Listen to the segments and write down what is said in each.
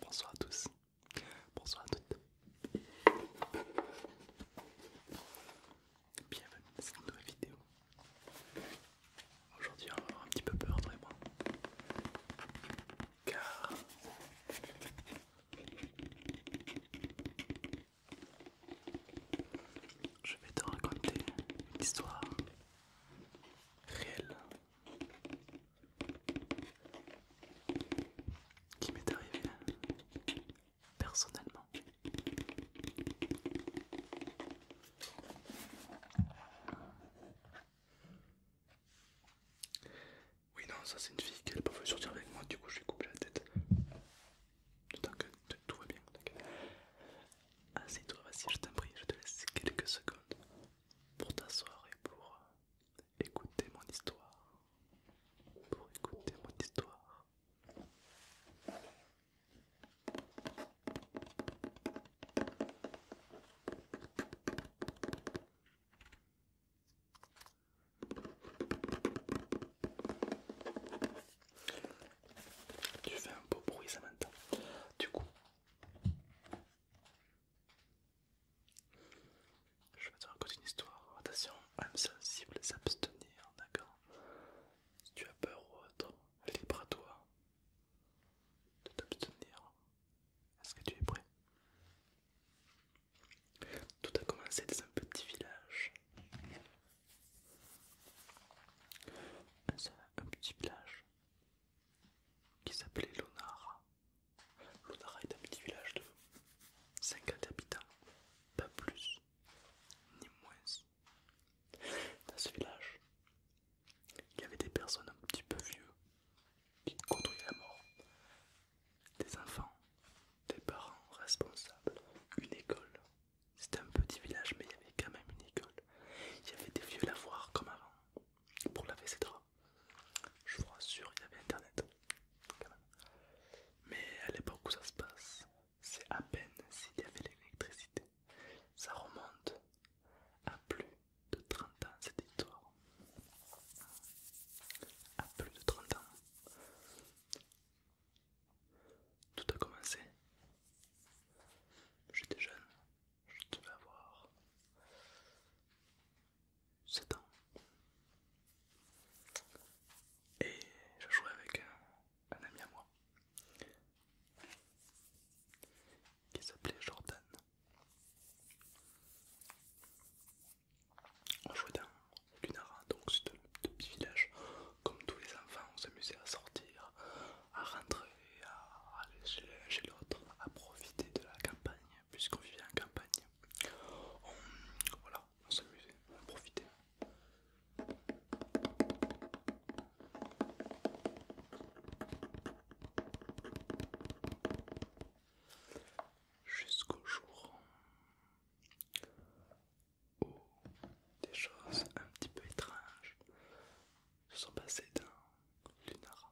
Bonsoir à tous, bonsoir à toutes. Bienvenue dans cette nouvelle vidéo. Aujourd'hui, on va avoir un petit peu peur, toi moi. Car je vais te raconter une histoire réelle qui m'est arrivée personnellement. Oui, non, ça c'est une fille qui n'a pas voulu sortir avec moi, du coup je lui coupe la tête. que tout va bien, t'inquiète. toi vas-y, je t'en prie, je te laisse quelques secondes pour t'asseoir et pour euh, écouter mon histoire. Pour écouter mon histoire. Tu fais un beau bruit ça maintenant. Du coup, je vais te raconter une histoire. Attention, âme sensible, s'abstenir, d'accord Si tu as peur ou autre, libre à toi de t'abstenir. Est-ce que tu es prêt tout a commencé dans un petit village. Un, petit village qui s'appelait Lonara. Lonara est un petit village de 50 habitants, pas plus ni moins. Dans ce village, il y avait des personnes un petit peu vieux qui côtoyaient la mort des enfants, des parents responsables, une école. C'était un petit village, mais il y avait quand même une école. Il y avait des vieux lavoirs comme avant pour laver ses draps. Je vous rassure, il y avait internet Mais à l'époque où ça se passe, c'est à peine s'il y avait l'électricité. Ça remonte à plus de 30 ans cette histoire à plus de 30 ans. Tout a commencé. J'étais jeune, je devais avoir 7 ans. Et je jouais avec un, ami à moi qui s'appelait Jordan. On jouait dans donc c'est un petit village. Comme tous les enfants, on s'amusait à sortir, à rentrer, à aller chez l'un chez l'autre, à profiter de la campagne, puisqu'on vivait en campagne. voilà, on s'amusait, on profitait jusqu'au jour où des choses un petit peu étranges se sont passées dans Lunara.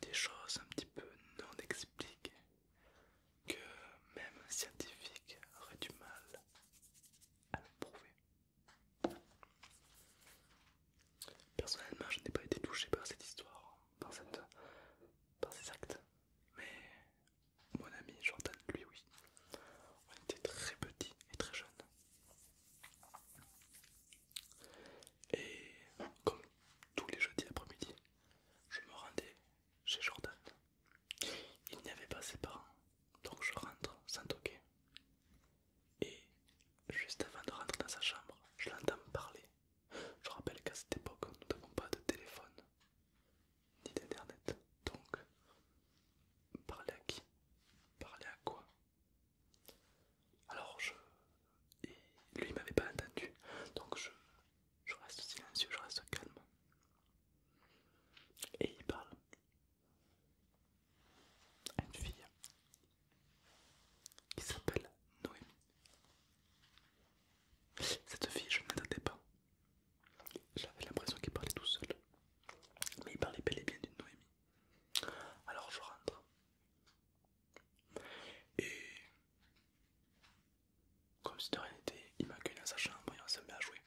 Des choses un petit peu non expliquées que même un scientifique aurait du mal à prouver. Personnellement, je n'ai pas été touché par cette histoire, par cette par ses actes, mais mon ami Jordan, lui, oui. On était très petit et très jeune Et comme tous les jeudis après-midi, je me rendais chez Jordan. Il n'y avait pas ses parents, donc je rentre sans toquer. Et juste avant de rentrer dans sa chambre, je l'entends parler je rappelle qu'à cette époque, nous n'avons pas de téléphone ni d'internet. Donc, parler à qui Parler à quoi Alors, je. Et lui m'avait pas entendu. Donc, je, je reste silencieux, je reste calme. Et il parle à une fille qui s'appelle Noémie. Cette fille, je ne m'attendais pas. J'avais l'impression qu'il parlait tout seul. Mais il parlait bel et bien d'une Noémie. Alors je rentre. Et comme si de rien n'était, il m'accueille dans sa chambre et on se met à jouer.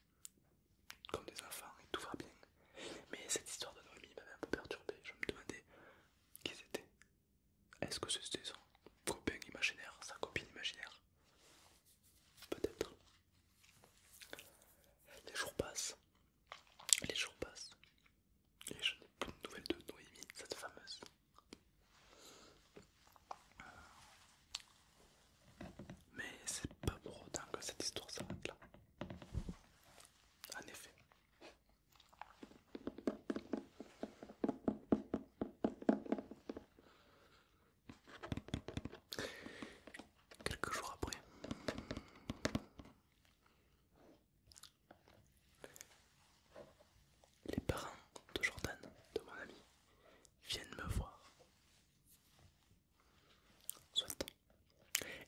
Comme des enfants et tout va bien. Mais cette histoire de Noémie m'avait un peu perturbé. Je me demandais qui c'était, est-ce que c'était son copain imaginaire, sa copine imaginaire Peut-être. Les jours passent, les jours passent, et je n'ai plus de nouvelles de Noémie, cette fameuse. Mais c'est pas pour autant que cette histoire s'arrête là. En effet, Quelques jours après, les parents de Jordan, de mon ami, viennent me voir. Soit.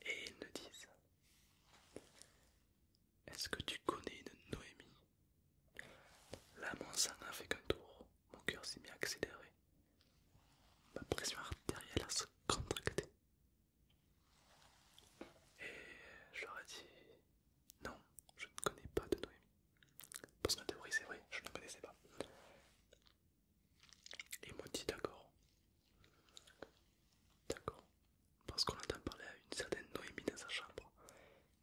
Et ils me disent Est-ce que tu connais une Noémie Là, mon sang n'a fait qu'un tour, mon cœur s'est mis à accélérer. Ma pression artérielle a se contracté. Et je leur ai dit non, je ne connais pas de Noémie. Parce que ma théorie, c'est vrai, je ne connaissais pas. Ils m'ont dit d'accord. D'accord parce qu'on entend parler à une certaine Noémie dans sa chambre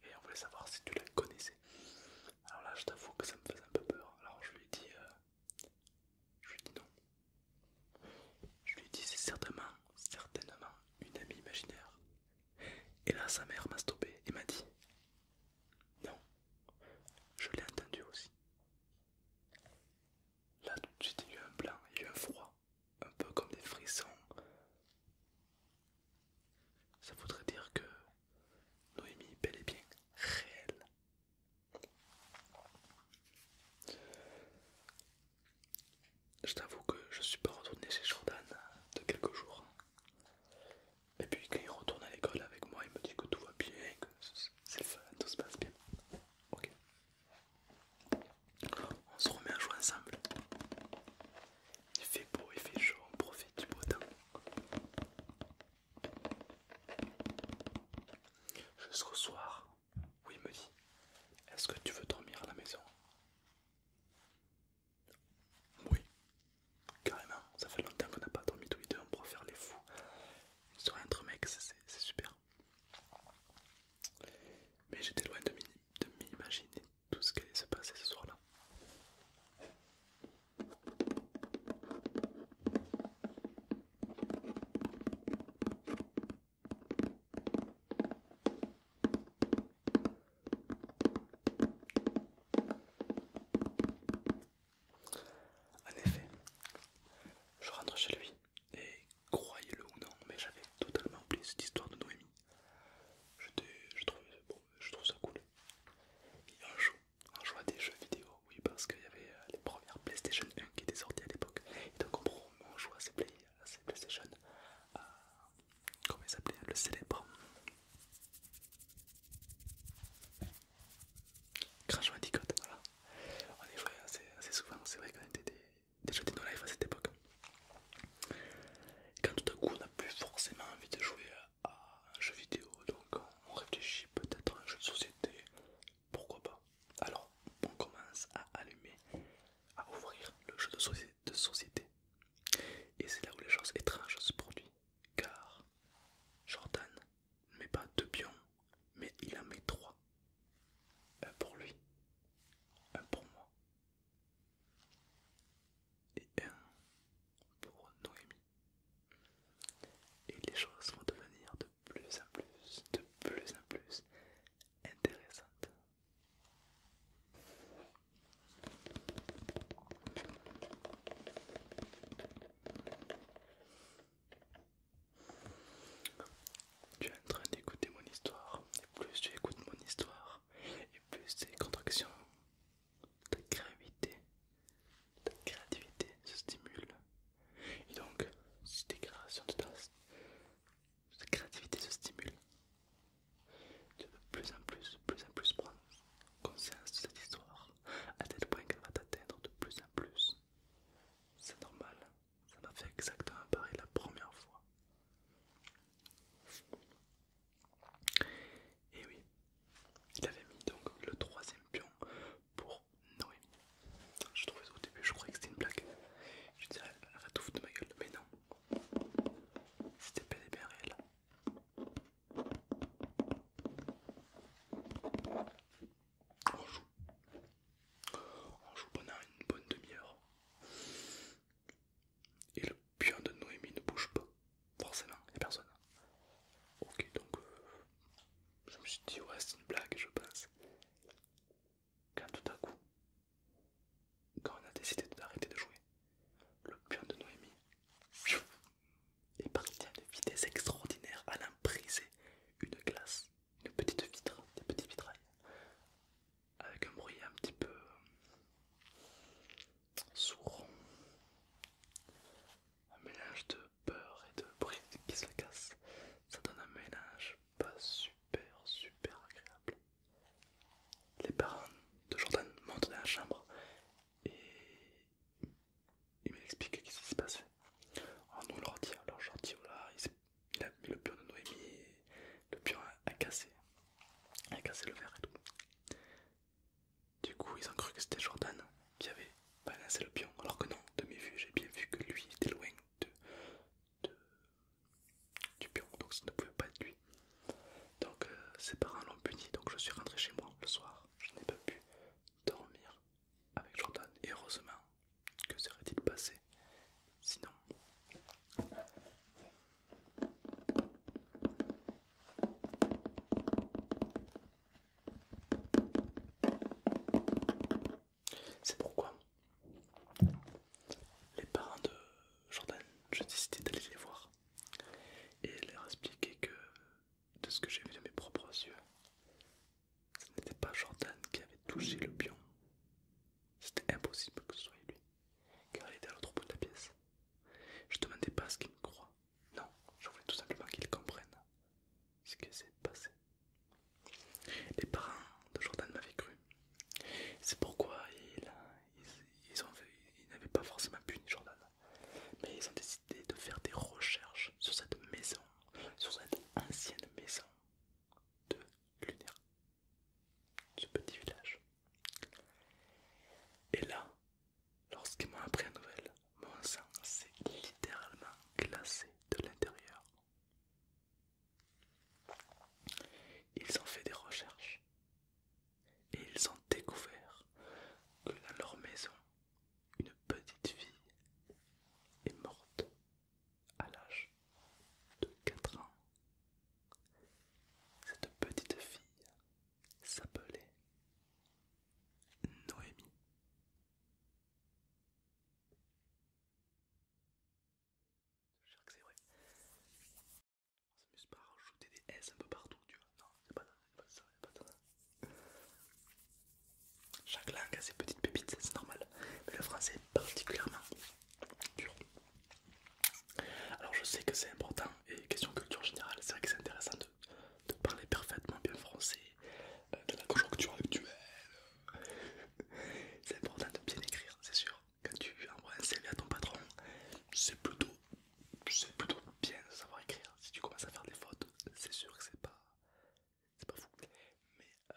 et on voulait savoir si tu la connaissais. Alors là, je t'avoue que ça me faisait un peu peur. Alors je lui ai dit, euh, je lui ai dit non. Je lui ai dit c'est certainement, certainement une amie imaginaire. Et là, sa mère m'a stoppé et m'a dit non. Je l'ai entendu aussi. Là, tout de suite, il y a eu un blanc, il y a eu un froid un peu comme des frissons. Ça voudrait dire que Noémie est bel et bien réelle. Je t'avoue que je suis pas retourné chez Jordan de quelques jours. Et puis quand il retourne à l'école avec moi, il me dit que tout va bien, que c'est fun, tout se passe bien. Ok on se remet à jouer ensemble. Il fait beau, il fait chaud, on profite du beau temps. Jusqu'au soir, oui il me dit Est-ce que tu veux dormir à la maison Oui, carrément, ça fait longtemps qu'on n'a pas dormi tous les deux, on préfère les fous. Une soirée entre mecs, c'est super. Mais j'étais loin de m'imaginer tout ce qui allait se passer ce soir-là. En effet, je rentre chez lui et croyez-le ou non, mais j'avais totalement oublié cette histoire de Noémie je trouve, ça cool. et on à des jeux vidéo, oui, parce qu'il y avait euh, les premières PlayStation 1 qui étaient sorties à l'époque. Et donc, on joue à ces, à PlayStation, euh, comment ils s'appelait, le célèbre Crash Bandicoot, voilà. On est vrai, assez, assez souvent, c'est vrai qu'on était des, des no Life à cette époque. quand tout à coup on n'a plus forcément envie de jouer à un jeu vidéo, donc on réfléchit peut-être à un jeu de société, pourquoi pas. Alors on commence à allumer, à ouvrir le jeu de, de société. Et c'est là où les choses étranges se produisent, car Jordan ne met pas deux pions, mais il en met trois. Un pour lui, un pour moi et un euh, pour Noémie. Et les choses vont devenir de plus en plus, de plus en plus intéressantes. Tu es en train d'écouter mon histoire, et plus tu écoutes mon histoire, et plus tes contractions, ta gravité, ta créativité se stimule. Et donc, si tes de ta, créativité se stimule, tu vas de plus en plus, plus en plus prendre conscience de cette histoire, à tel point qu'elle va t'atteindre de plus en plus. C'est normal, ça m'a fait exactement pareil la première fois. Et oui, il avait mis donc le troisième pion pour Noémie. Je trouvais ça au début, je croyais que c'était une blague. Je disais, elle tout de ma gueule, mais non. C'était pas et réel. On joue. On joue pendant une bonne demi-heure. Et le pion de Noémie ne bouge pas, forcément, il n'y a personne. Ok, donc euh, je me suis dit, ouais, c'est une blague, je pense. Quand tout à coup, quand on a décidé d'arrêter de jouer, le pion de Noémie est parti à une vitesse extraordinaire, à briser une glace, une petite vitre, des petites vitrailles avec un bruit un petit peu euh, sourd, un mélange de peur et de bruit qui se casse, ça donne un mélange pas super super agréable. Les parents de Jordan montent dans la chambre et ils m'expliquent ce qui s'est passé. Alors nous leur dit, alors leur voilà, il a mis le pion de Noémie le pion a, cassé. A cassé le verre et tout. Du coup, ils ont cru que c'était Jordan qui avait balancé le pion, alors que non, de mes vues, j'ai bien vu que lui était loin de, du pion, donc ça ne pouvait pas être lui. Donc euh, ses parents l'ont puni, donc je suis rentré chez moi le soir, je n'ai pas pu dormir avec Jordan, et heureusement que serait-il passé Sinon... C'est pourquoi les parents de Jordan, j'ai décidé d'aller les voir et leur expliquer que de ce que j'ai vu de mes propres yeux, ce n'était pas Jordan qui avait touché le pion. C'était impossible que ce soit lui car elle était à l'autre bout de la pièce. Je ne demandais pas à ce qu'il me croit. Non, je voulais tout simplement qu'il comprenne ce qui s'est passé. Les parents de Jordan m'avaient cru. C'est pourquoi ils, ils n'avaient pas forcément puni Jordan. Mais ils ont décidé de faire des recherches sur cette maison, sur cette ancienne maison de lunaire ce petit village. Et là, lorsqu'ils m'ont appris la nouvelle, mon sang s'est littéralement glacé de l'intérieur. Ils ont fait des recherches et ils ont découvert que dans leur maison, une petite fille est morte à l'âge de 4 ans, cette petite fille s'appelait Noémie. Je que c'est vrai. On s'amuse pas à rajouter des S un peu partout, tu vois. Non, c'est pas, pas ça, y'a pas ça. Chaque langue a ses petites pépites, c'est normal. Mais le français est particulièrement dur. Alors je sais que c'est important et question culture générale, c'est vrai que c'est intéressant de, parler parfaitement bien français, euh, de la conjoncture actuelle. c'est important de bien écrire, c'est sûr. Quand tu envoies un CV à ton patron, c'est plutôt, c'est plutôt bien de savoir écrire. Si tu commences à faire des fautes, c'est sûr que c'est pas, c'est pas fou. Euh,